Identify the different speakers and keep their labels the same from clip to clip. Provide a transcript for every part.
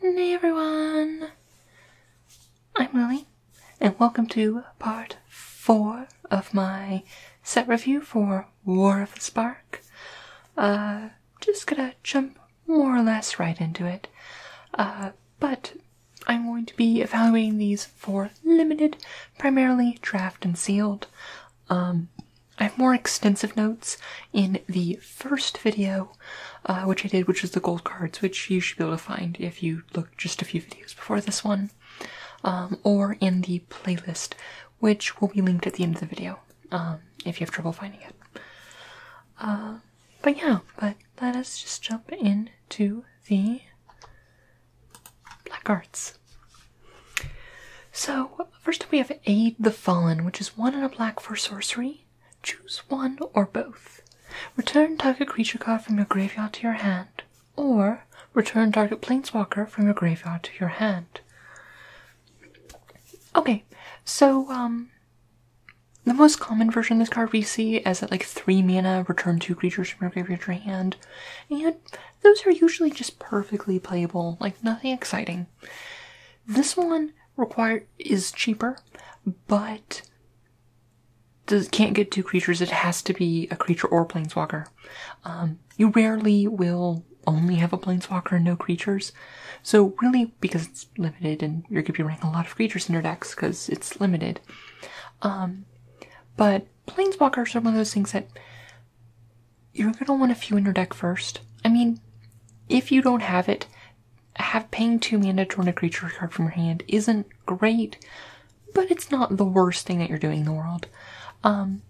Speaker 1: Hey everyone! I'm Lily, and welcome to part four of my set review for War of the Spark. Uh, just gonna jump more or less right into it, uh, but I'm going to be evaluating these for limited, primarily draft and sealed. Um, I have more extensive notes in the first video, uh, which I did, which was the gold cards, which you should be able to find if you look just a few videos before this one, um, or in the playlist, which will be linked at the end of the video um, if you have trouble finding it. Uh, but yeah, but let us just jump into the black arts. So, first we have Aid the Fallen, which is one and a black for sorcery. Choose one or both. Return target creature card from your graveyard to your hand, or return target planeswalker from your graveyard to your hand. Okay, so um the most common version of this card we see is at like three mana, return two creatures from your graveyard to your hand, and those are usually just perfectly playable, like nothing exciting. This one required is cheaper, but does, can't get two creatures. It has to be a creature or a planeswalker. Um, you rarely will only have a planeswalker and no creatures. So really, because it's limited, and you're going to be running a lot of creatures in your decks because it's limited. Um, but planeswalkers are one of those things that you're going to want a few in your deck first. I mean, if you don't have it, have paying two mana to turn a creature card from your hand isn't great, but it's not the worst thing that you're doing in the world. Um,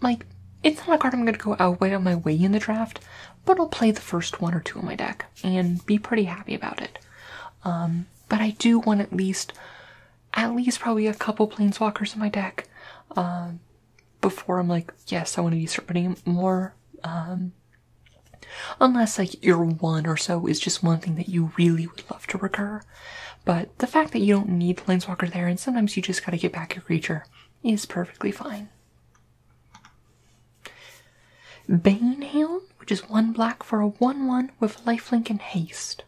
Speaker 1: like, it's not a card I'm going to go out way on my way in the draft, but I'll play the first one or two in my deck and be pretty happy about it. Um, but I do want at least, at least probably a couple planeswalkers in my deck. Um, before I'm like, yes, I want to be spending more. Um, unless like your one or so is just one thing that you really would love to recur. But the fact that you don't need the Planeswalker there, and sometimes you just gotta get back your creature, is perfectly fine. Banehound, which is one black for a 1 1 with lifelink and haste.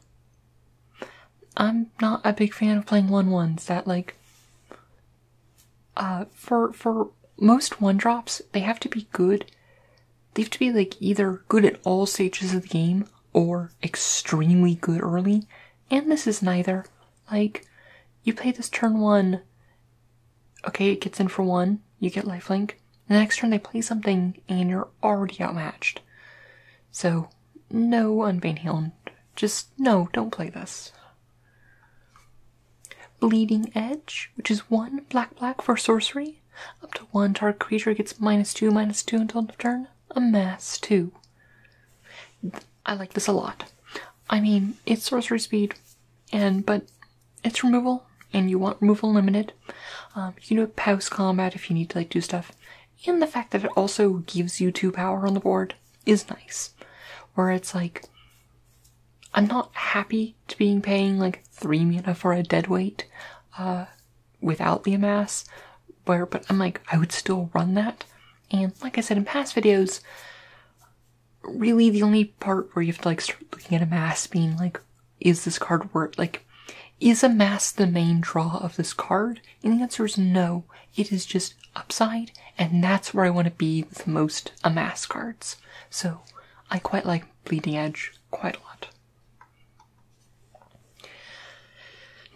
Speaker 1: I'm not a big fan of playing one ones that like uh for for most one drops they have to be good. They have to be like either good at all stages of the game or extremely good early. And this is neither. Like you play this turn one, okay, it gets in for one, you get lifelink. The next turn they play something and you're already outmatched. So no, Unbane Just no, don't play this. Bleeding Edge, which is one black black for sorcery. Up to one target creature gets minus two, minus two until turn. A mass two. I like this a lot. I mean, it's sorcery speed, and but it's removal, and you want removal limited. Um, you know, do combat if you need to like do stuff, and the fact that it also gives you two power on the board is nice. Where it's like, I'm not happy to being paying like 3 mana for a dead weight uh, without the amass, where, but I'm like, I would still run that. And like I said in past videos, really the only part where you have to like start looking at a mass being like, is this card worth, like, is a mass the main draw of this card? And the answer is no. It is just upside, and that's where I want to be with most amass cards. So I quite like Bleeding Edge quite a lot.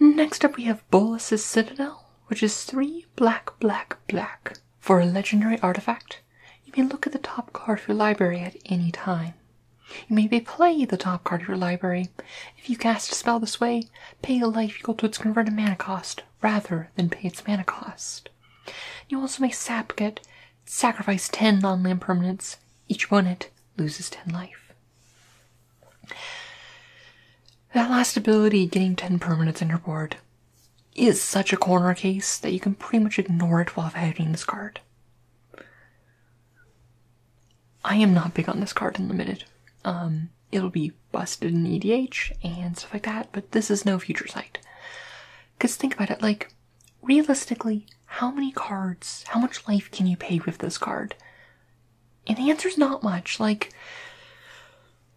Speaker 1: Next up, we have Bolus's Citadel, which is three black, black, black for a legendary artifact. You may look at the top card of your library at any time. You may play the top card of your library. If you cast a spell this way, Pay a life equal to its converted mana cost rather than pay its mana cost. You also may sap get sacrifice 10 non land permanents. Each one it loses 10 life. That last ability, getting 10 permanents in your board, is such a corner case that you can pretty much ignore it while having this card. I am not big on this card in limited. Um, it'll be busted in EDH and stuff like that, but this is no future sight. Because think about it, like, realistically, how many cards, how much life can you pay with this card? And the answer is not much. Like,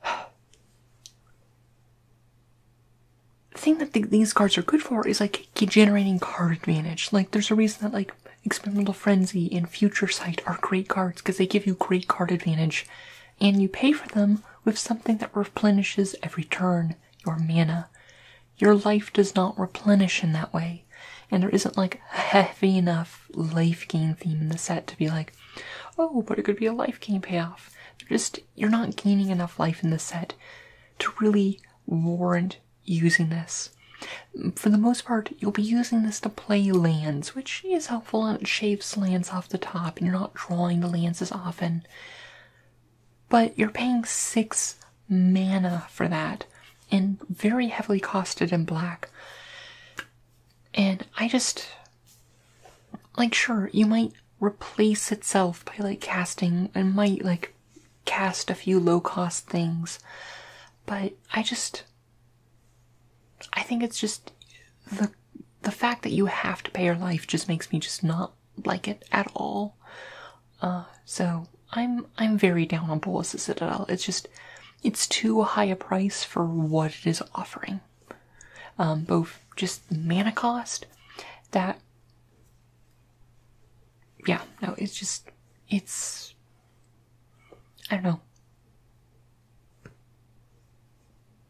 Speaker 1: the thing that these cards are good for is like generating card advantage. Like, there's a reason that, like, Experimental Frenzy, and Future Sight are great cards because they give you great card advantage, and you pay for them with something that replenishes every turn your mana. Your life does not replenish in that way, and there isn't like a heavy enough life gain theme in the set to be like, oh, but it could be a life gain payoff. They're just you're not gaining enough life in the set to really warrant using this. For the most part, you'll be using this to play lands, which is helpful and it shaves lands off the top, you're not drawing the lands as often. But you're paying six mana for that, and very heavily costed in black. And I just. Like, sure, you might replace itself by like casting, it might like cast a few low cost things, but I just. I think it's just the the fact that you have to pay your life just makes me just not like it at all. Uh, so I'm I'm very down on Bullis Citadel. It's just it's too high a price for what it is offering. Um, both just mana cost that yeah, no, it's just it's I don't know.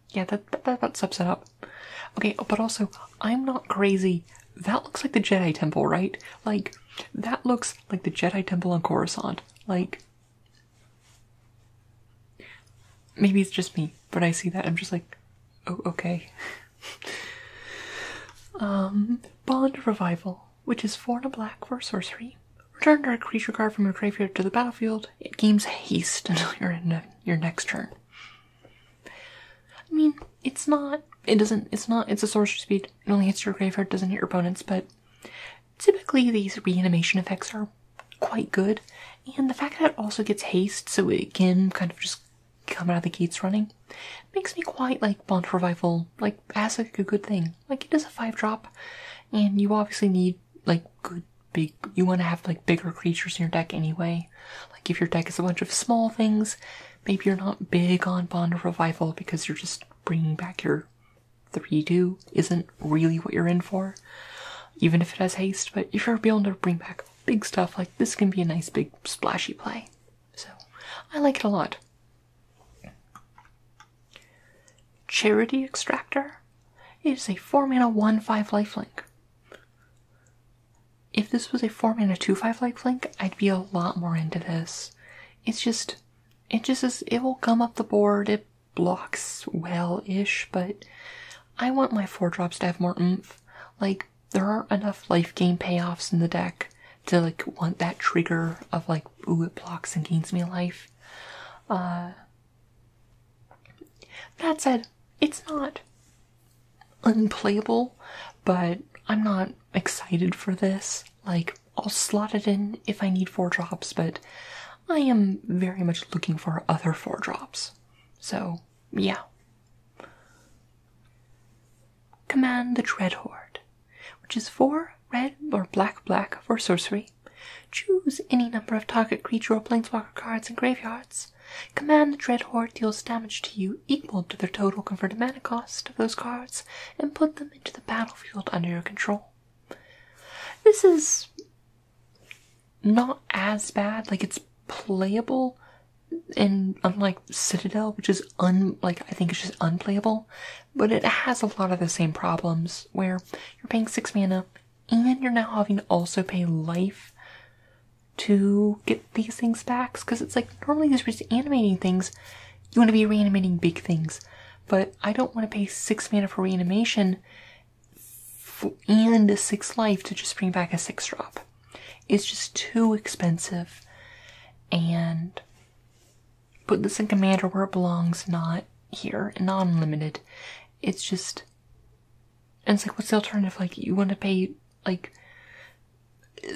Speaker 1: Yeah, that, that, that about it up. Okay, but also, I'm not crazy. That looks like the Jedi Temple, right? Like, that looks like the Jedi Temple on Coruscant. Like, maybe it's just me, but I see that. I'm just like, oh, okay. um, Bond Revival which is four and a black for sorcery. Return a creature card from your graveyard to the battlefield. It gains haste until you're in your next turn. I mean, it's not. It doesn't. It's not. It's a sorcery speed. It only hits your graveyard, doesn't hit your opponents. But typically, these reanimation effects are quite good, and the fact that it also gets haste, so it can kind of just come out of the gates running, makes me quite like Bond Revival. Like as a good thing. Like it is a five drop, and you obviously need like good big. You want to have like bigger creatures in your deck anyway. Like if your deck is a bunch of small things, maybe you're not big on Bond of Revival because you're just bringing back your three two isn't really what you're in for. Even if it has haste, but if you're able to bring back big stuff like this, can be a nice big splashy play. So I like it a lot. Charity Extractor is a 4 mana 1 5 life link. If this was a 4 mana 2 5 life link, I'd be a lot more into this. It's just, it just is, it will gum up the board, it blocks well ish, but I want my 4 drops to have more oomph. Like, there aren't enough life gain payoffs in the deck to like want that trigger of like, ooh, it blocks and gains me life. Uh, that said, it's not unplayable, but I'm not excited for this. Like, I'll slot it in if I need four drops, but I am very much looking for other four drops. So, yeah. Command the Dread Horde, which is four red or black black for sorcery. Choose any number of target creature or planeswalker cards in graveyards. Command the Dread Horde deals damage to you equal to the total converted mana cost of those cards and put them into the battlefield under your control. This is not as bad, like it's playable and unlike Citadel, which is un like I think it's just unplayable, but it has a lot of the same problems where you're paying 6 mana and you're now having to also pay life to get these things back because it's like normally just we're just animating things you want to be reanimating big things but i don't want to pay six mana for reanimation and six life to just bring back a six drop it's just too expensive and Put this in Commander where it belongs, not here, not unlimited. It's just. And it's like, what's the alternative? Like, you want to pay, like.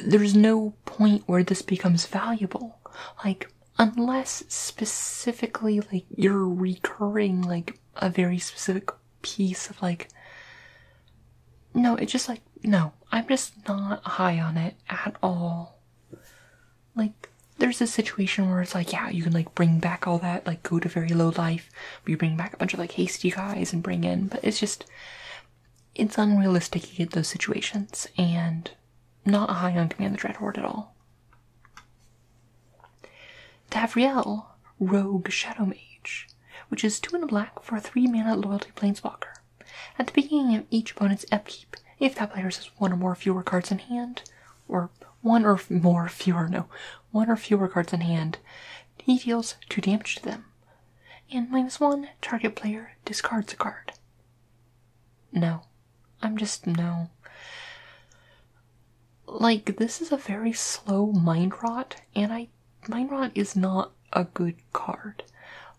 Speaker 1: There's no point where this becomes valuable. Like, unless specifically, like, you're recurring, like, a very specific piece of, like. No, it's just like, no, I'm just not high on it at all like there's a situation where it's like yeah you can like bring back all that like go to very low life you bring back a bunch of like hasty guys and bring in but it's just it's unrealistic to get those situations and not a high on command the dread horde at all Davriel, rogue shadow mage which is two in a black for a three mana loyalty planeswalker at the beginning of each opponent's upkeep if that player has one or more fewer cards in hand or one or more fewer no one or fewer cards in hand he deals two damage to them and minus one target player discards a card no i'm just no like this is a very slow mind rot and i mind rot is not a good card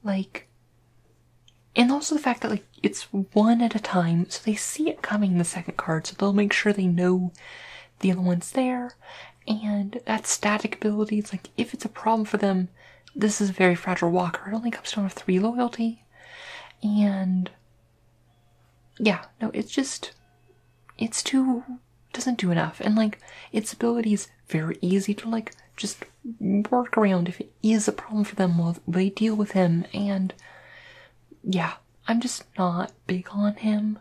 Speaker 1: like and also the fact that like it's one at a time, so they see it coming the second card, so they'll make sure they know the other one's there. And that static ability, it's like if it's a problem for them, this is a very fragile walker. It only comes down to three loyalty. And yeah, no, it's just it's too doesn't do enough. And like its ability is very easy to like just work around if it is a problem for them well, they deal with him and yeah, I'm just not big on him.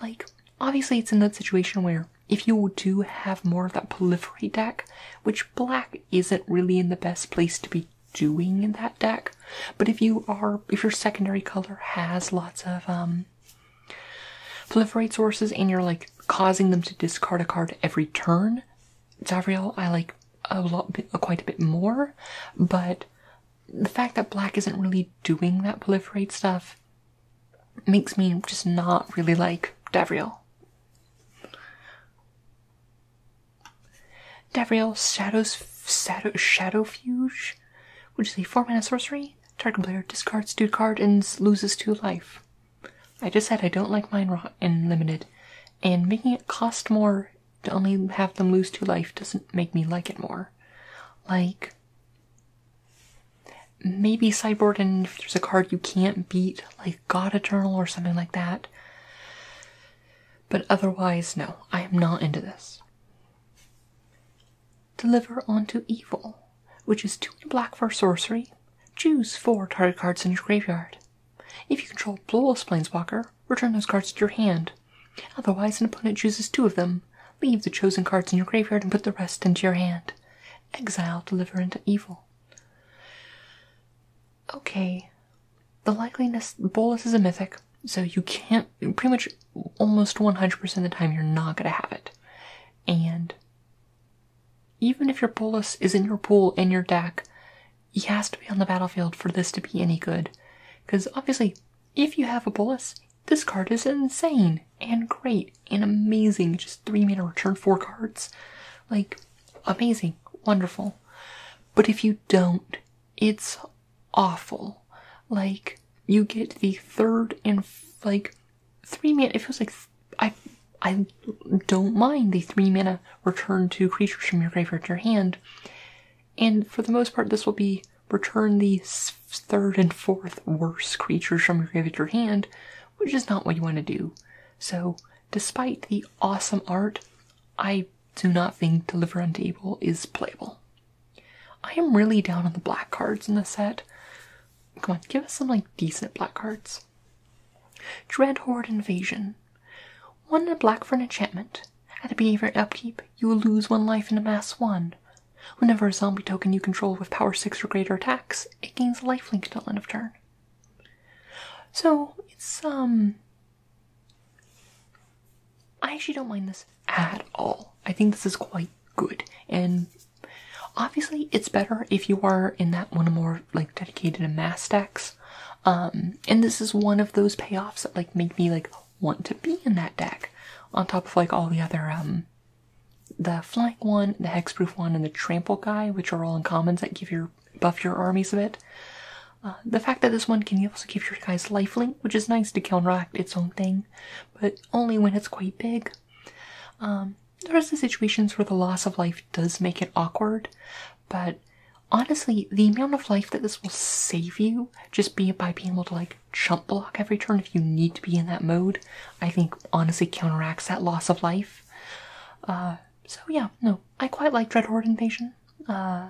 Speaker 1: Like, obviously, it's in that situation where if you do have more of that proliferate deck, which black isn't really in the best place to be doing in that deck, but if you are, if your secondary color has lots of, um, proliferate sources and you're like causing them to discard a card every turn, Davriel, I like a lot, quite a bit more, but the fact that black isn't really doing that proliferate stuff makes me just not really like Davriel. Davriel Shadows Shadow Shadowfuge, which is a four mana sorcery. Target player discards two cards and loses two life. I just said I don't like mine raw and limited, and making it cost more to only have them lose to life doesn't make me like it more. Like, maybe sideboard, and if there's a card you can't beat, like God Eternal or something like that. But otherwise, no, I am not into this. Deliver onto evil, which is two black for sorcery. Choose four target cards in your graveyard. If you control Blowless Planeswalker, return those cards to your hand. Otherwise, an opponent chooses two of them. Leave the chosen cards in your graveyard and put the rest into your hand. Exile Deliver into Evil. Okay, the likeliness Bolus is a mythic, so you can't pretty much almost 100% of the time you're not going to have it. And even if your Bolus is in your pool in your deck, he has to be on the battlefield for this to be any good. Because obviously, if you have a Bullis, this card is insane and great and amazing. Just three mana return four cards. Like, amazing, wonderful. But if you don't, it's awful. Like, you get the third and like three mana. It feels like I I don't mind the three mana return two creatures from your graveyard to your hand. And for the most part, this will be return the third and fourth worst creatures from your graveyard hand, which is not what you want to do. So, despite the awesome art, I do not think Deliver Unable is playable. I am really down on the black cards in the set. Come on, give us some like decent black cards. Dread Horde Invasion. One in a black for an enchantment. At a behavior upkeep, you will lose one life and mass one. Whenever a zombie token you control with power 6 or greater attacks, it gains lifelink until the end of turn. So, it's, um. I actually don't mind this at all. I think this is quite good. And obviously, it's better if you are in that one more, like, dedicated to mass stacks um, and this is one of those payoffs that like make me like want to be in that deck. On top of like all the other um, the flank one, the hexproof one, and the trample guy, which are all in commons that give your buff your armies a bit. Uh, the fact that this one can also keep your guys lifelink, which is nice to counteract its own thing, but only when it's quite big. Um, there are some situations where the loss of life does make it awkward, but honestly, the amount of life that this will save you just by being able to like jump block every turn if you need to be in that mode, I think honestly counteracts that loss of life. Uh, so yeah, no, I quite like Horde Invasion. Uh,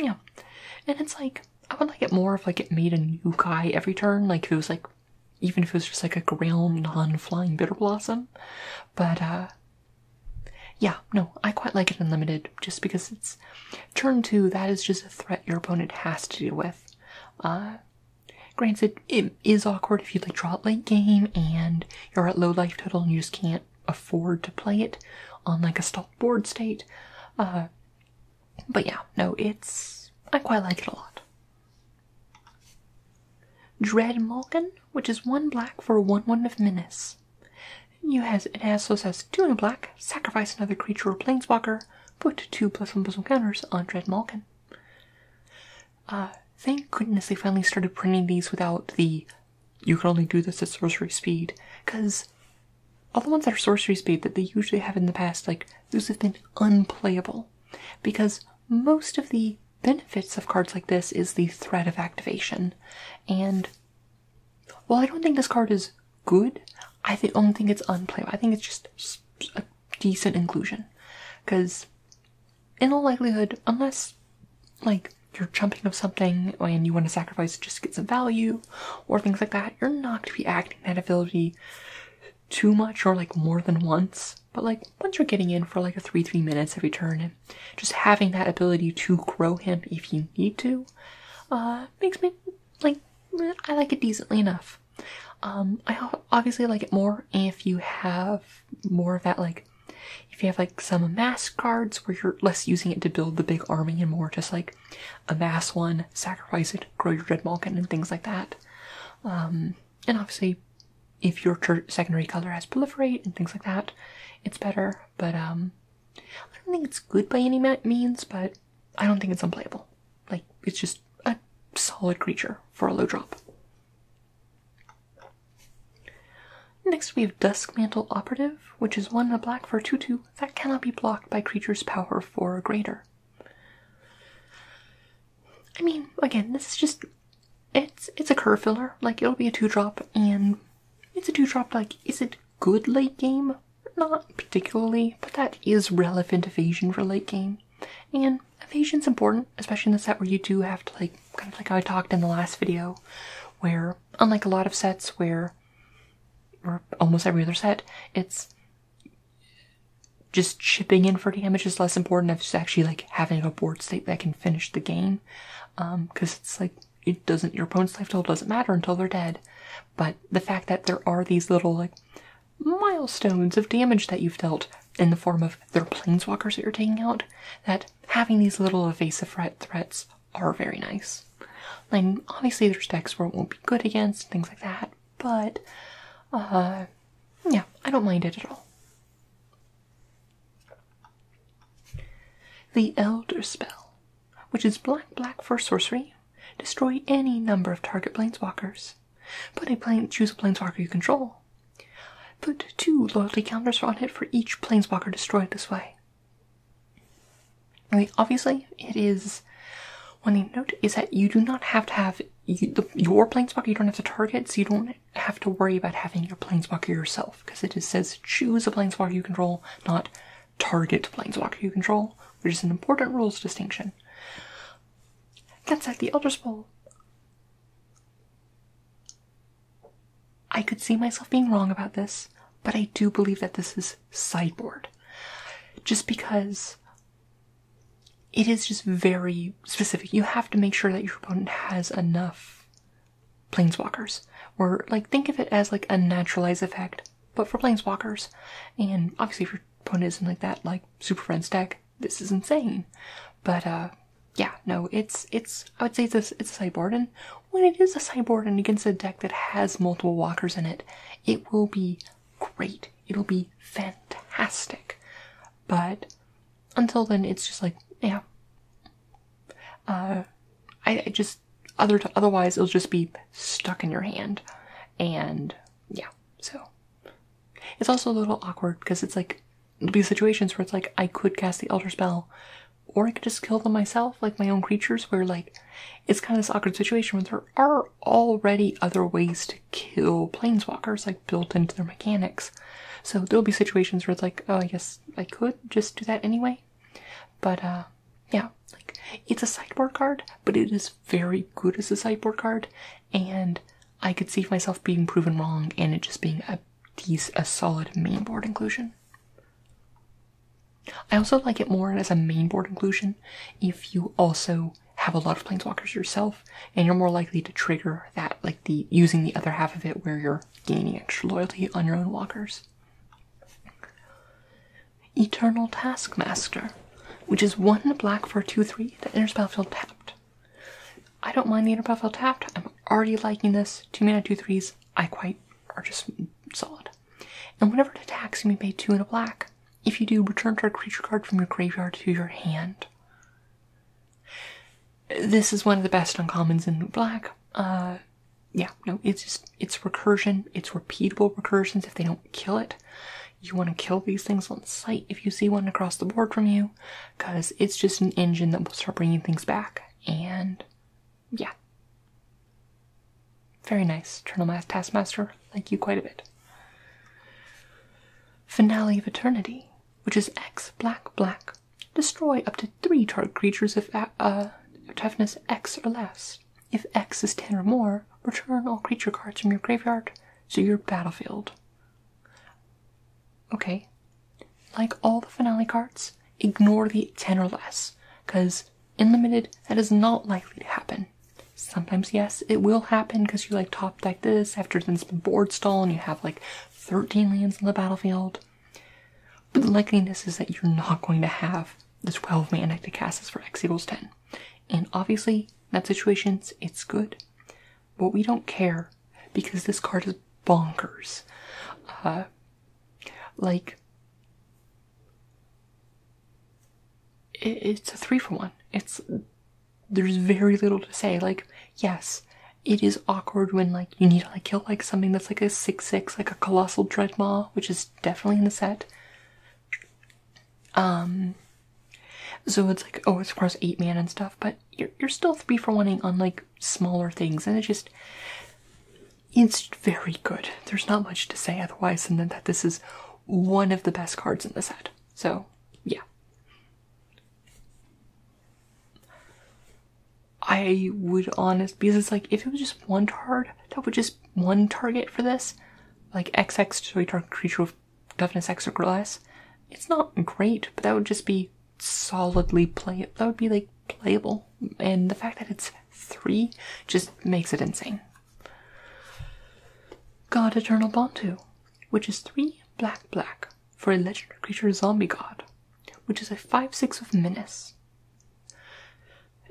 Speaker 1: yeah, and it's like I would like it more if like it made a new guy every turn, like if it was like even if it was just like a ground non-flying bitter blossom. But uh, yeah, no, I quite like it unlimited just because it's turn two, that is just a threat your opponent has to deal with. Uh, granted, it is awkward if you like draw late game and you're at low life total and you just can't afford to play it on like a stopped board state. Uh, but yeah, no, it's I quite like it a lot. Dread Malkin, which is one black for one one of menace. You has an has so it says two in a black, sacrifice another creature or plainswalker put two plus one plus one counters on Dread Malkin. Uh, thank goodness they finally started printing these without the you can only do this at sorcery speed, because all the ones that are sorcery speed that they usually have in the past, like those have been unplayable. Because most of the benefits of cards like this is the threat of activation. And well, I don't think this card is good. I th don't think it's unplayable. I think it's just a decent inclusion. Because, in all likelihood, unless, like, you're jumping of something and you want to sacrifice just to get some value or things like that, you're not going to be acting that ability too much or, like, more than once. But, like, once you're getting in for, like, a 3-3 minutes every turn, just having that ability to grow him if you need to uh, makes me like I like it decently enough. Um, I obviously like it more if you have more of that like if you have like some mass cards where you're less using it to build the big army and more just like a mass one, sacrifice it, grow your red malkin and things like that. Um, and obviously, if your secondary color has proliferate and things like that, it's better. But um, I don't think it's good by any means, but I don't think it's unplayable. Like, it's just a solid creature for a low drop. Next, we have Dusk Mantle Operative, which is one in a black for 2 that cannot be blocked by creatures power 4 or greater. I mean, again, this is just. It's, it's a curve filler. Like, it'll be a 2 drop, and it's a two drop like is it good late game? Not particularly, but that is relevant evasion for late game. And evasion's important, especially in the set where you do have to like kind of like I talked in the last video, where unlike a lot of sets where or almost every other set, it's just chipping in for damage is less important as actually like having a board state that can finish the game. Um, cause it's like it doesn't your opponent's life total doesn't matter until they're dead. But the fact that there are these little like milestones of damage that you've dealt in the form of their planeswalkers that you're taking out, that having these little evasive threat threats are very nice. Like obviously there's decks where it won't be good against things like that, but uh yeah, I don't mind it at all. The Elder Spell, which is black black for sorcery, destroy any number of target planeswalkers. but choose a planeswalker you control. Put two loyalty counters on it for each planeswalker destroyed this way. obviously, it is. One thing to note is that you do not have to have your planeswalker. You don't have to target, so you don't have to worry about having your planeswalker yourself because it just says choose a planeswalker you control, not target planeswalker you control, which is an important rules distinction. Against the Elder Scroll, I could see myself being wrong about this, but I do believe that this is sideboard. Just because it is just very specific. You have to make sure that your opponent has enough planeswalkers. Or like think of it as like a naturalized effect, but for planeswalkers. And obviously if your opponent isn't like that, like Super Friends deck, this is insane. But uh yeah, no, it's it's I would say it's a, it's a sideboard, and when it is a sideboard and against a deck that has multiple walkers in it, it will be great. It'll be fantastic. But until then, it's just like yeah. Uh, I just otherwise, it'll just be stuck in your hand, and yeah. So it's also a little awkward because it's like there'll be situations where it's like I could cast the Elder Spell, or I could just kill them myself, like my own creatures. Where like it's kind of this awkward situation where there are already other ways to kill planeswalkers, like built into their mechanics. So there'll be situations where it's like, oh, I guess I could just do that anyway. But uh, yeah, like it's a sideboard card, but it is very good as a sideboard card, and I could see myself being proven wrong and it just being a a solid mainboard inclusion. I also like it more as a mainboard inclusion if you also have a lot of planeswalkers yourself, and you're more likely to trigger that, like the using the other half of it where you're gaining extra loyalty on your own walkers. Eternal Taskmaster, which is one black for two three The Inner battlefield tapped. I don't mind the inner battlefield tapped. I'm already liking this. Two mana, two threes. I quite are just solid. And whenever it attacks, you may pay two and a black. If you do, return target creature card from your graveyard to your hand. This is one of the best uncommons in black. Uh, yeah, no, it's just, it's recursion, it's repeatable recursions if they don't kill it. You want to kill these things on sight if you see one across the board from you, because it's just an engine that will start bringing things back, and yeah. Very nice, Eternal Taskmaster. Thank you quite a bit. Finale of Eternity, which is X black black Destroy up to three target creatures if uh, toughness X or less. If X is 10 or more, return all creature cards from your graveyard to your battlefield. Okay, like all the finale cards, ignore the 10 or less, because in limited, that is not likely to happen. Sometimes, yes, it will happen because you like top deck this after then board stall and you have like 13 lands on the battlefield. But the likeliness is that you're not going to have the 12 man ectocasis for x equals 10. And obviously, that situation, it's good. But we don't care because this card is bonkers. Uh, like, it's a three for one. It's, there's very little to say. Like, yes, it is awkward when, like, you need need to like kill like something that's like a six six, like a colossal dreadmaw, which is definitely in the set. Um so it's like oh it's across eight man and stuff, but you're you're still three for oneing on like smaller things and it just it's very good. There's not much to say otherwise and that this is one of the best cards in the set. So yeah. I would honestly, because it's like if it was just one card, that would just one target for this, like X to a target creature with toughness X or less. It's not great, but that would just be solidly playable. That would be like playable, and the fact that it's three just makes it insane. God Eternal Bantu, which is three black black for a legendary creature zombie god, which is a five six of menace.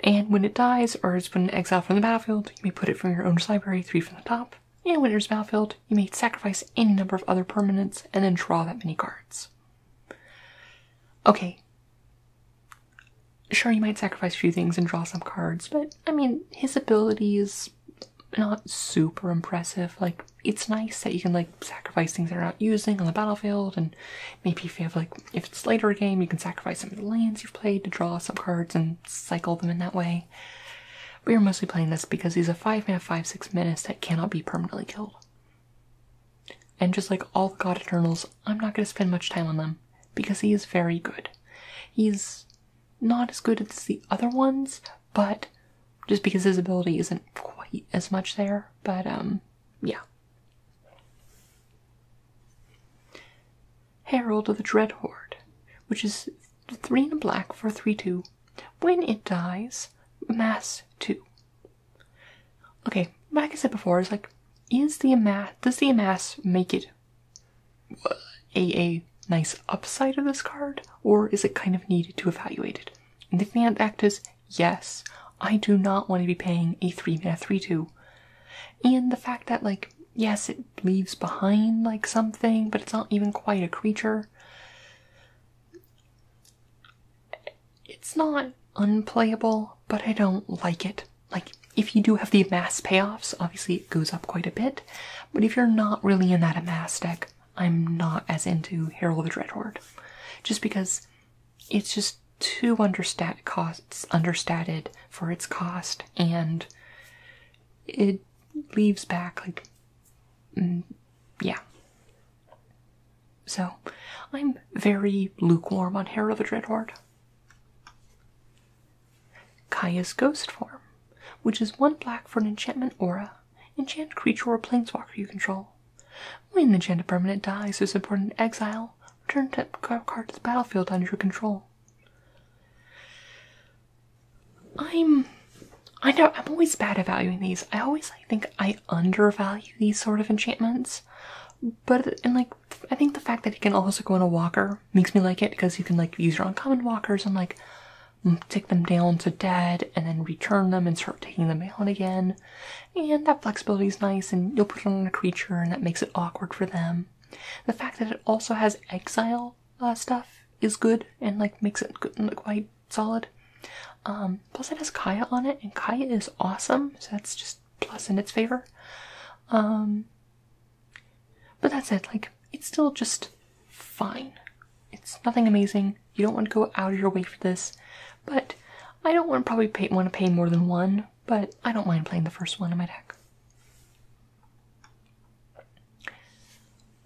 Speaker 1: And when it dies, or is put in exile from the battlefield, you may put it from your owner's library, three from the top. And when it's battlefield, you may sacrifice any number of other permanents and then draw that many cards. Okay. Sure, you might sacrifice a few things and draw some cards, but I mean, his ability is not super impressive. Like, it's nice that you can like sacrifice things that are not using on the battlefield and Maybe if you have like if it's later game, you can sacrifice some of the lands you've played to draw some cards and cycle them in that way. We are mostly playing this because he's a five man five six menace that cannot be permanently killed. And just like all the God Eternals, I'm not going to spend much time on them because he is very good. He's not as good as the other ones, but just because his ability isn't quite as much there. But um, yeah. Herald of the Dread Horde, which is three and a black for three two. When it dies, mass two. Okay, like I said before, it's like, is the mass does the mass make it uh, a a nice upside of this card, or is it kind of needed to evaluate it? The they can act as yes, I do not want to be paying a 3 mana 3 2. And the fact that, like, yes, it leaves behind, like, something, but it's not even quite a creature. It's not unplayable, but I don't like it. Like, if you do have the mass payoffs, obviously it goes up quite a bit, but if you're not really in that mass deck, I'm not as into Herald of the Dreadhorde. Just because it's just too understat costs understated for its cost, and it leaves back like mm, yeah. So, I'm very lukewarm on Hair of a Dreadhorde. Kaya's Ghost Form, which is one black for an enchantment aura. Enchant creature or planeswalker you control. When the Enchanted Permanent dies, this important exile, return tip card to the battlefield under your control. I'm I know I'm always bad at valuing these. I always I think I undervalue these sort of enchantments. But and like I think the fact that he can also go on a walker makes me like it because he can like use your uncommon walkers and like take them down to dead and then return them and start taking them out again and that flexibility is nice and you'll put it on a creature and that makes it awkward for them the fact that it also has exile uh, stuff is good and like makes it look quite solid um, plus it has kaya on it and kaya is awesome so that's just plus in its favor um, but that's it like it's still just fine it's nothing amazing you don't want to go out of your way for this but I don't want probably want to pay more than one, but I don't mind playing the first one in my deck.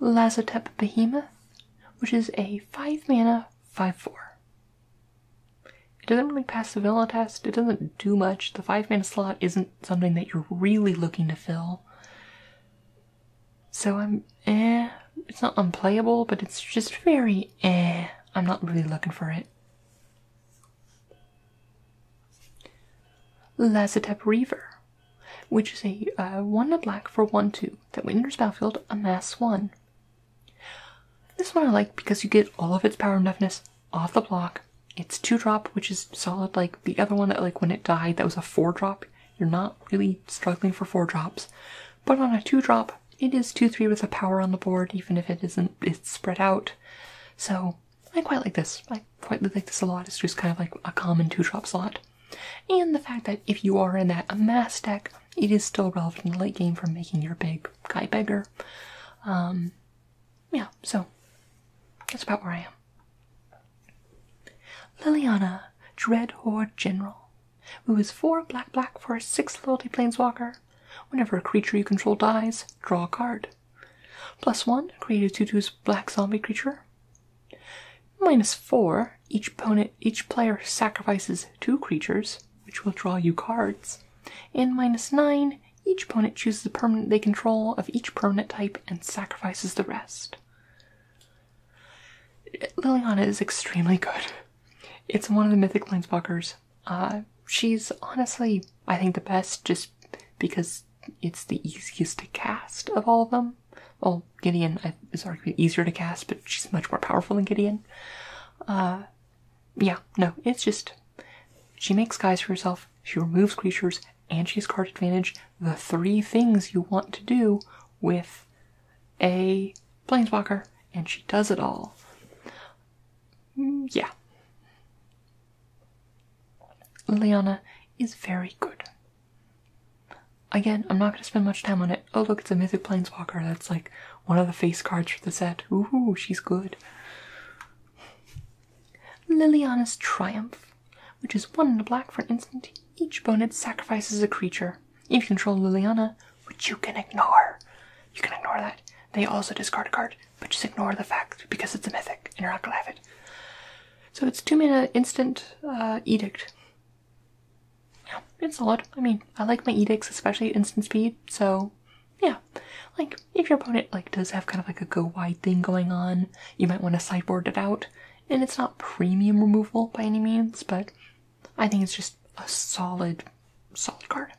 Speaker 1: Lazotep Behemoth, which is a 5 mana, 5 4. It doesn't really pass the Villa test, it doesn't do much. The 5 mana slot isn't something that you're really looking to fill. So I'm eh. It's not unplayable, but it's just very eh. I'm not really looking for it right? Lazatep which is a uh, one 1 black for 1 2 that when enters battlefield, amass 1. This one I like because you get all of its power and deafness off the block. It's 2 drop, which is solid. Like the other one that, like, when it died, that was a 4 drop. You're not really struggling for 4 drops. But on a two drop, it is two three with a power on the board, even if it isn't it's spread out. So I quite like this. I quite like this a lot. It's just kind of like a common two drop slot. And the fact that if you are in that amass deck, it is still relevant in the late game for making your big guy beggar. Um, yeah, so that's about where I am. Liliana, Dread Horde General. Who is four black black for a six loyalty planeswalker? Whenever a creature you control dies, draw a card. Plus one, create a two two's black zombie creature. Minus four, each opponent each player sacrifices two creatures, which will draw you cards. And minus nine, each opponent chooses a permanent they control of each permanent type and sacrifices the rest. Liliana is extremely good. It's one of the mythic planeswalkers uh, she's honestly, I think, the best just because it's the easiest to cast of all of them. Well, Gideon is arguably easier to cast, but she's much more powerful than Gideon. Uh, yeah, no, it's just she makes guys for herself, she removes creatures, and she's card advantage. The three things you want to do with a planeswalker, and she does it all. Mm, yeah. Liliana is very good. Again, I'm not going to spend much time on it. Oh, look, it's a mythic planeswalker. That's like one of the face cards for the set. Ooh, she's good. Liliana's Triumph, which is one in the black for an instant. Each opponent sacrifices a creature. If you control Liliana, which you can ignore. You can ignore that. They also discard a card, but just ignore the fact because it's a mythic and you're not gonna have it. So it's two mana instant uh, edict. Yeah, it's solid. I mean, I like my edicts, especially instant speed. So, yeah, like if your opponent like does have kind of like a go wide thing going on, you might want to sideboard it out. And it's not premium removal by any means, but I think it's just a solid, solid card.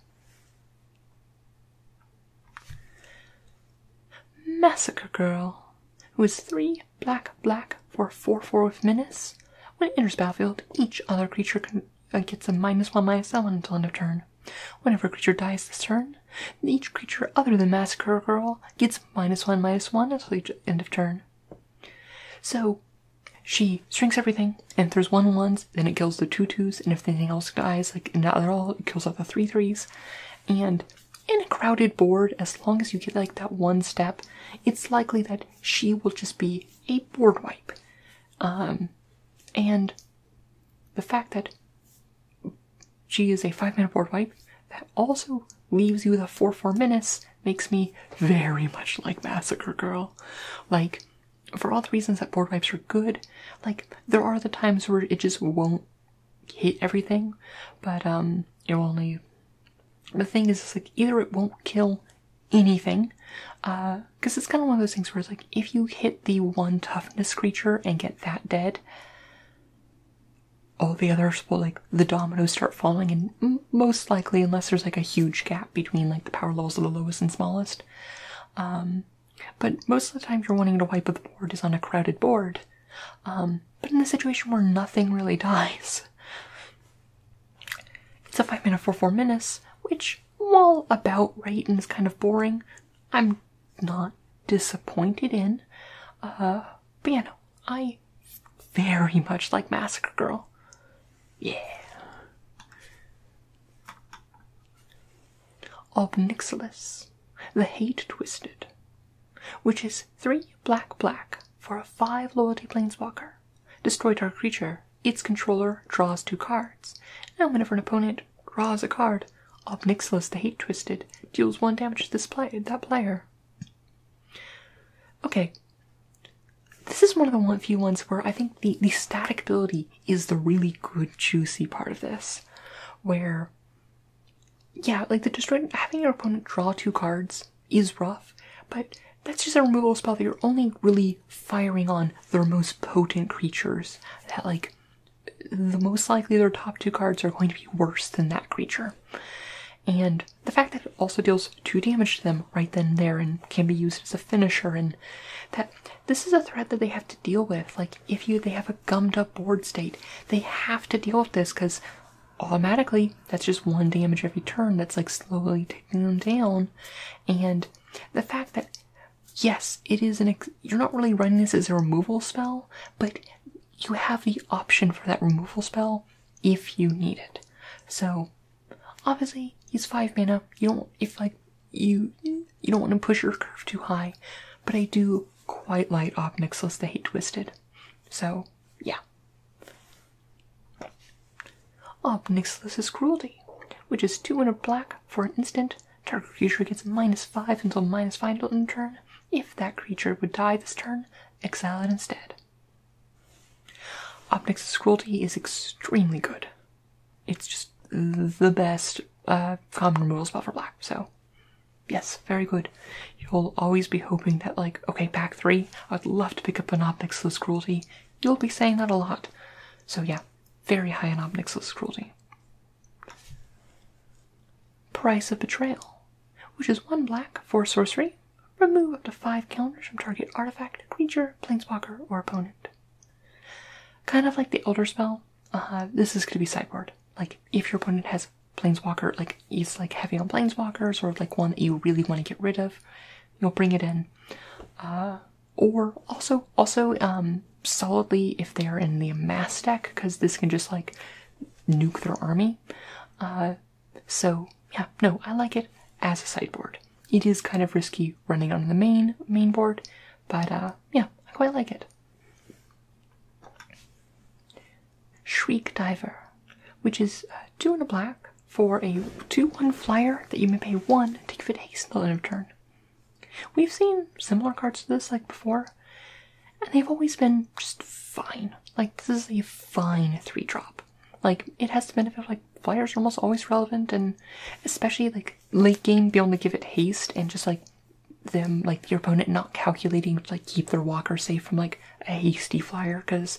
Speaker 1: Massacre Girl, who is three black black for four four with menace. When it enters battlefield, each other creature uh, gets a minus one minus one until end of turn. Whenever a creature dies this turn, each creature other than Massacre Girl gets minus one minus one until each end of turn. So she strings everything, and throws one ones, then it kills the two twos, and if anything else dies, like not at all, it kills all the three threes. And in a crowded board, as long as you get like that one step, it's likely that she will just be a board wipe. Um, and the fact that she is a five minute board wipe that also leaves you with a four four menace, makes me very much like Massacre Girl. Like for all the reasons that board wipes are good, like there are the times where it just won't hit everything, but um, it will only. The thing is, it's like either it won't kill anything, because uh, it's kind of one of those things where it's like if you hit the one toughness creature and get that dead, all the others will like the dominoes start falling, and most likely, unless there's like a huge gap between like the power levels of the lowest and smallest, um, but most of the time, you're wanting to wipe a board is on a crowded board. Um, but in a situation where nothing really dies, it's a five minute for four minutes, which while about right and is kind of boring, I'm not disappointed in. Uh, but yeah, no, I very much like Massacre Girl. Yeah. Of the Hate Twisted, which is three black black for a five loyalty planeswalker. destroyed our creature. Its controller draws two cards, and whenever an opponent draws a card, Obnixilus the Hate Twisted deals one damage to this play that player. Okay, this is one of the one few ones where I think the, the static ability is the really good juicy part of this. Where yeah, like the destroying having your opponent draw two cards is rough, but that's just a removal spell that you're only really firing on the most potent creatures. That like the most likely their top two cards are going to be worse than that creature. And the fact that it also deals two damage to them right then and there and can be used as a finisher and that this is a threat that they have to deal with. Like if you they have a gummed up board state, they have to deal with this because automatically that's just one damage every turn that's like slowly taking them down. And the fact that yes, it is an ex you're not really running this as a removal spell, but you have the option for that removal spell if you need it. So Obviously, he's five mana. You don't if like you you don't want to push your curve too high, but I do quite like Obnixilus the Hate Twisted. So yeah. Obnixilus cruelty, which is two and a black for an instant. Target creature gets minus five until minus five until turn. If that creature would die this turn, exile it instead. Obnixilus cruelty is extremely good it's just the best uh, common removal spell for black. So, yes, very good. You'll always be hoping that, like, okay, pack three, I'd love to pick up an Obnixilus Cruelty. You'll be saying that a lot. So, yeah, very high in Obnixilus Cruelty. Price of Betrayal, which is one black for sorcery. Remove up to five counters from target artifact, creature, planeswalker, or opponent. Kind of like the Elder Spell, uh-huh. this is going to be sideboard. Like, if your opponent has Planeswalker, like, he's like heavy on Planeswalkers, or like one that you really want to get rid of, you'll bring it in. Uh, or also, also, um, solidly if they are in the mass deck, because this can just like nuke their army. Uh, so yeah, no, I like it as a sideboard. It is kind of risky running on the main main board, but uh, yeah, I quite like it. Shriek Diver, which is uh, two and a black for a 2-1 flyer that you may pay one to give it haste until end of We've seen similar cards to this like before, and they've always been just fine. Like this is a fine three drop. Like it has the benefit of like flyers are almost always relevant, and especially like late game, be able to give it haste and just like them, like your opponent not calculating to like keep their walker safe from like a hasty flyer because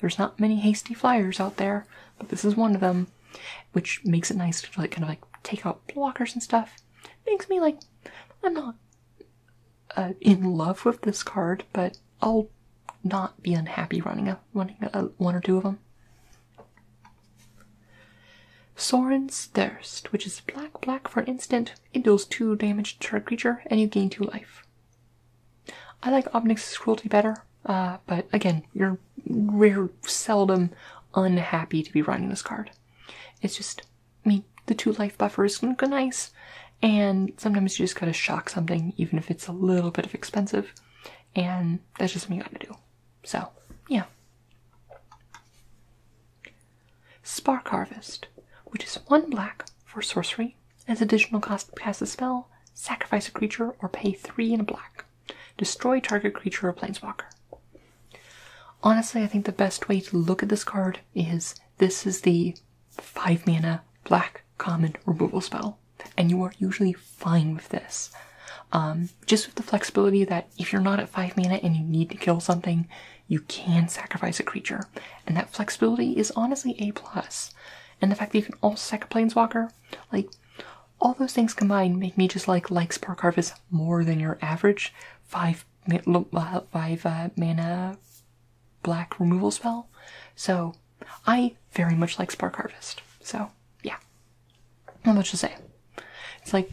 Speaker 1: there's not many hasty flyers out there, but this is one of them, which makes it nice to like kind of like take out blockers and stuff. Makes me like, I'm not uh, in love with this card, but I'll not be unhappy running a running a, one or two of them. Soren's Thirst, which is black, black for an instant. It deals 2 damage to a creature and you gain 2 life. I like Obnix's Cruelty better, uh, but again, you're rare, seldom unhappy to be running this card. It's just, me. the 2 life buffer is nice, and sometimes you just gotta shock something, even if it's a little bit of expensive, and that's just something you gotta do. So, yeah. Spark Harvest, which is one black for sorcery. As additional cost, cast a spell, sacrifice a creature, or pay three in black. Destroy target creature or planeswalker. Honestly, I think the best way to look at this card is this is the 5 mana black common removal spell and you are usually fine with this. Um, just with the flexibility that if you're not at 5 mana and you need to kill something, you can sacrifice a creature. And that flexibility is honestly A. plus. And the fact that you can also sacrifice a planeswalker, like, all those things combined make me just like like Spark Harvest more than your average five uh, uh, mana black removal spell. So I very much like Spark Harvest. So yeah, not much to say. It's like,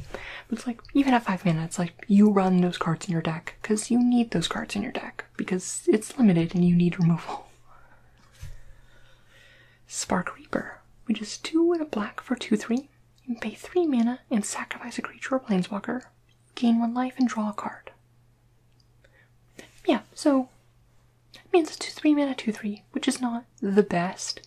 Speaker 1: it's like even at five mana, it's like you run those cards in your deck because you need those cards in your deck because it's limited and you need removal. Spark Reaper, which is two and a black for two three. You pay three mana and sacrifice a creature or planeswalker. Gain one life and draw a card. Yeah, so it means a 2 3 mana 2 3, which is not the best.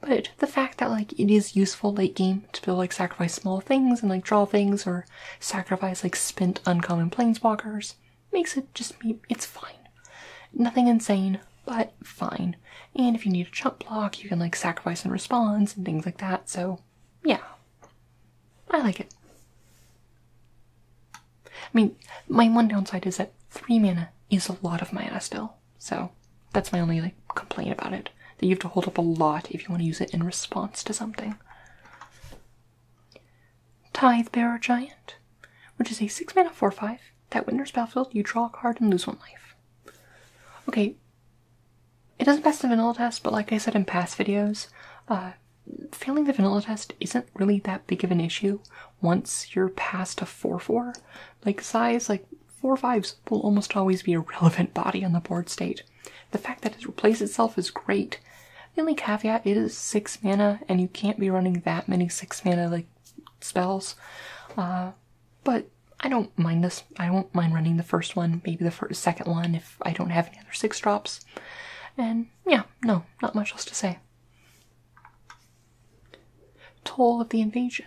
Speaker 1: But the fact that like it is useful late game to like sacrifice small things and like draw things or sacrifice like spent uncommon planeswalkers makes it just be it's fine. Nothing insane, but fine. And if you need a chunk block, you can like sacrifice and response and things like that, so yeah. I like it. I mean, my one downside is that three mana is a lot of mana still, so that's my only like complaint about it. That you have to hold up a lot if you want to use it in response to something. Tithe Bearer Giant, which is a six mana four five that winters battlefield. You draw a card and lose one life. Okay, it doesn't pass the vanilla test, but like I said in past videos, uh, failing the vanilla test isn't really that big of an issue once you're past a 4 4, like size, like 4 5s will almost always be a relevant body on the board state. The fact that it replaces itself is great. The only caveat is 6 mana, and you can't be running that many 6 mana like spells. Uh, but I don't mind this. I won't mind running the first one, maybe the second one if I don't have any other 6 drops. And yeah, no, not much else to say. Toll of the Invasion,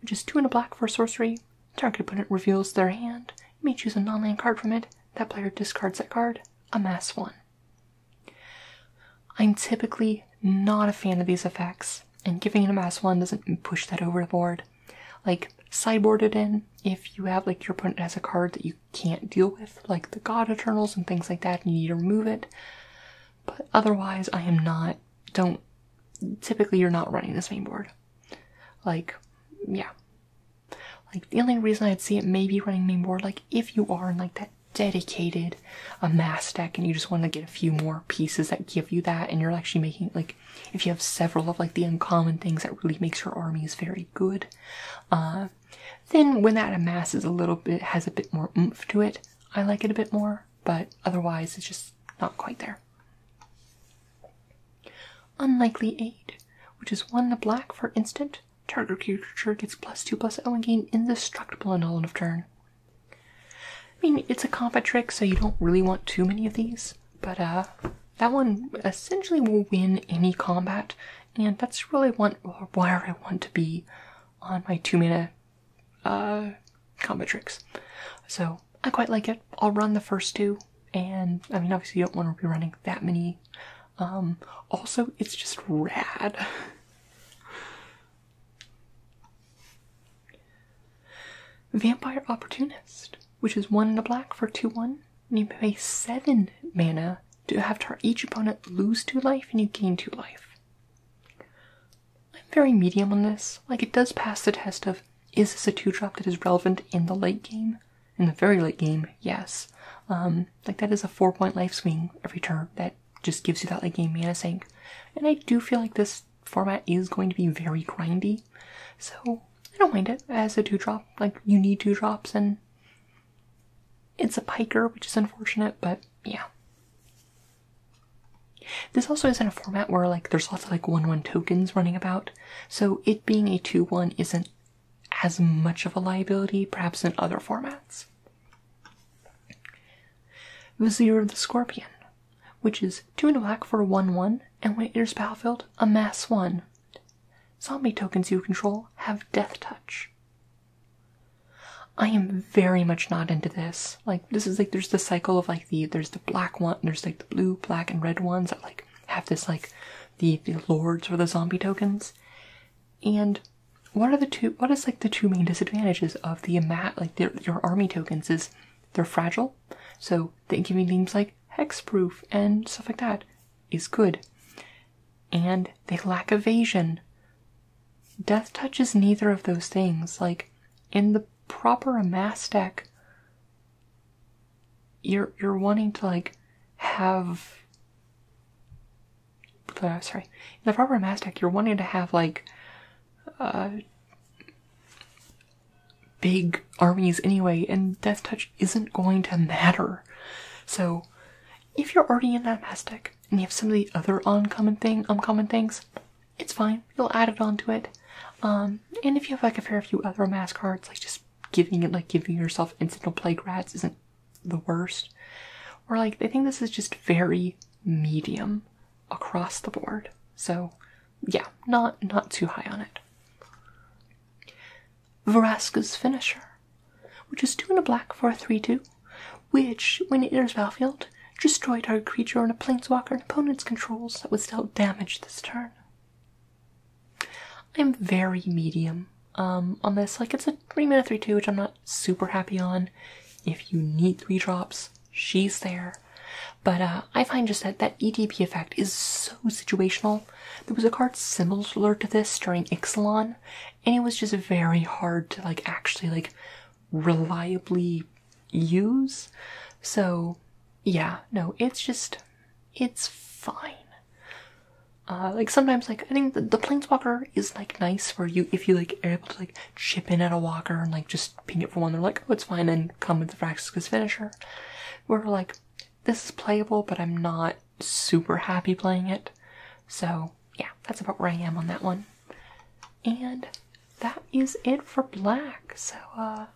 Speaker 1: which is two and a black for sorcery. Target opponent reveals their hand. You may choose a nonland card from it. That player discards that card. Amass one. I'm typically not a fan of these effects, and giving an amass one doesn't push that over the board. Like sideboard it in if you have like your opponent has a card that you can't deal with, like the God Eternals and things like that, and you need to remove it. But otherwise, I am not, don't, typically you're not running this board. Like, yeah. Like, the only reason I'd see it maybe running mainboard, like, if you are in like that dedicated a mass deck and you just want to get a few more pieces that give you that and you're actually making like if you have several of like the uncommon things that really makes your army is very good uh then when that amass a little bit has a bit more oomph to it I like it a bit more, but otherwise it's just not quite there. Unlikely aid, which is one in black for instant. Target creature gets plus two plus zero and gain indestructible until end of turn. I mean, it's a combat trick, so you don't really want too many of these, but uh, that one essentially will win any combat, and that's really one where I want to be on my two minute uh, tricks. So I quite like it. I'll run the first two, and I mean, obviously, you don't want to be running that many. Um, also, it's just rad. Vampire Opportunist, which is one in a black for 2 1, and you pay 7 mana to have each opponent lose 2 life and you gain 2 life. I'm very medium on this. Like, it does pass the test of is this a two drop that is relevant in the late game? In the very late game, yes. Um, like, that is a four point life swing every turn that just gives you that late game mana sink. And I do feel like this format is going to be very grindy. So, I don't mind it as a two drop. Like, you need two drops, and it's a piker, which is unfortunate, but yeah. This also is in a format where like there's lots of like 1-1 tokens running about, so it being a 2-1 isn't as much of a liability perhaps in other formats. Vizier of the Scorpion, which is 2 in black for 1-1, and when it enters battlefield, a mass 1. Zombie tokens you control have Death Touch. I am very much not into this. Like this is like there's the cycle of like the there's the black one, there's like the blue, black, and red ones that like have this like the the lords or the zombie tokens. And what are the two? What is like the two main disadvantages of the mat like your army tokens is they're fragile, so they give you names like hexproof and stuff like that is good, and they lack evasion. Death Touch is neither of those things. Like in the proper amass deck, you're you're wanting to like have uh, sorry. In the proper amass deck, you're wanting to have like uh big armies anyway, and Death Touch isn't going to matter. So if you're already in that mass deck, and you have some of the other uncommon thing uncommon things, it's fine. You'll add it on to it. Um, and if you have like a fair few other mass cards, like just giving it like giving yourself incidental plague rats isn't the worst. Or like they think this is just very medium across the board. So yeah, not not too high on it. Veraska's finisher, which is two and a black for a three-two which, when it enters Battlefield, destroyed our creature on a planeswalker and opponent's controls that was still damage this turn. I'm very medium um, on this. Like, it's a 3 mana 3 2, which I'm not super happy on. If you need 3 drops, she's there. But uh, I find just that that EDP effect is so situational. There was a card similar to this during Ixalan, and it was just very hard to like actually like reliably use. So, yeah, no, it's just, it's fine. Uh, like sometimes, like I think the, the planeswalker is like nice for you if you like are able to like chip in at a walker and like just ping it for one. They're like, oh, it's fine, and come with the Vraxis finisher. We're like, this is playable, but I'm not super happy playing it. So, yeah, that's about where I am on that one. And that is it for black. So, uh,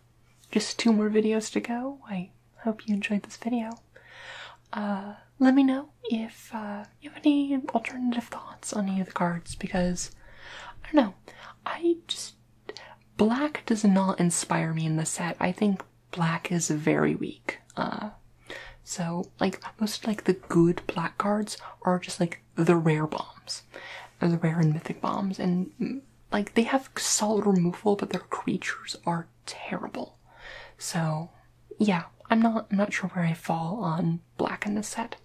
Speaker 1: just two more videos to go. I hope you enjoyed this video. Uh, let me know if uh, you have any alternative thoughts on any of the cards because I don't know. I just black does not inspire me in the set. I think black is very weak. Uh, so like most like the good black cards are just like the rare bombs, the rare and mythic bombs, and mm, like they have solid removal, but their creatures are terrible. So, yeah, I'm not I'm not sure where I fall on black in the set.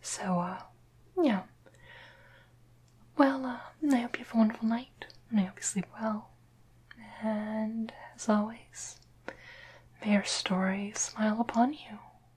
Speaker 1: So, uh, yeah. Well, uh, I hope you have a wonderful night, and I hope you sleep well. And as always, may your story smile upon you.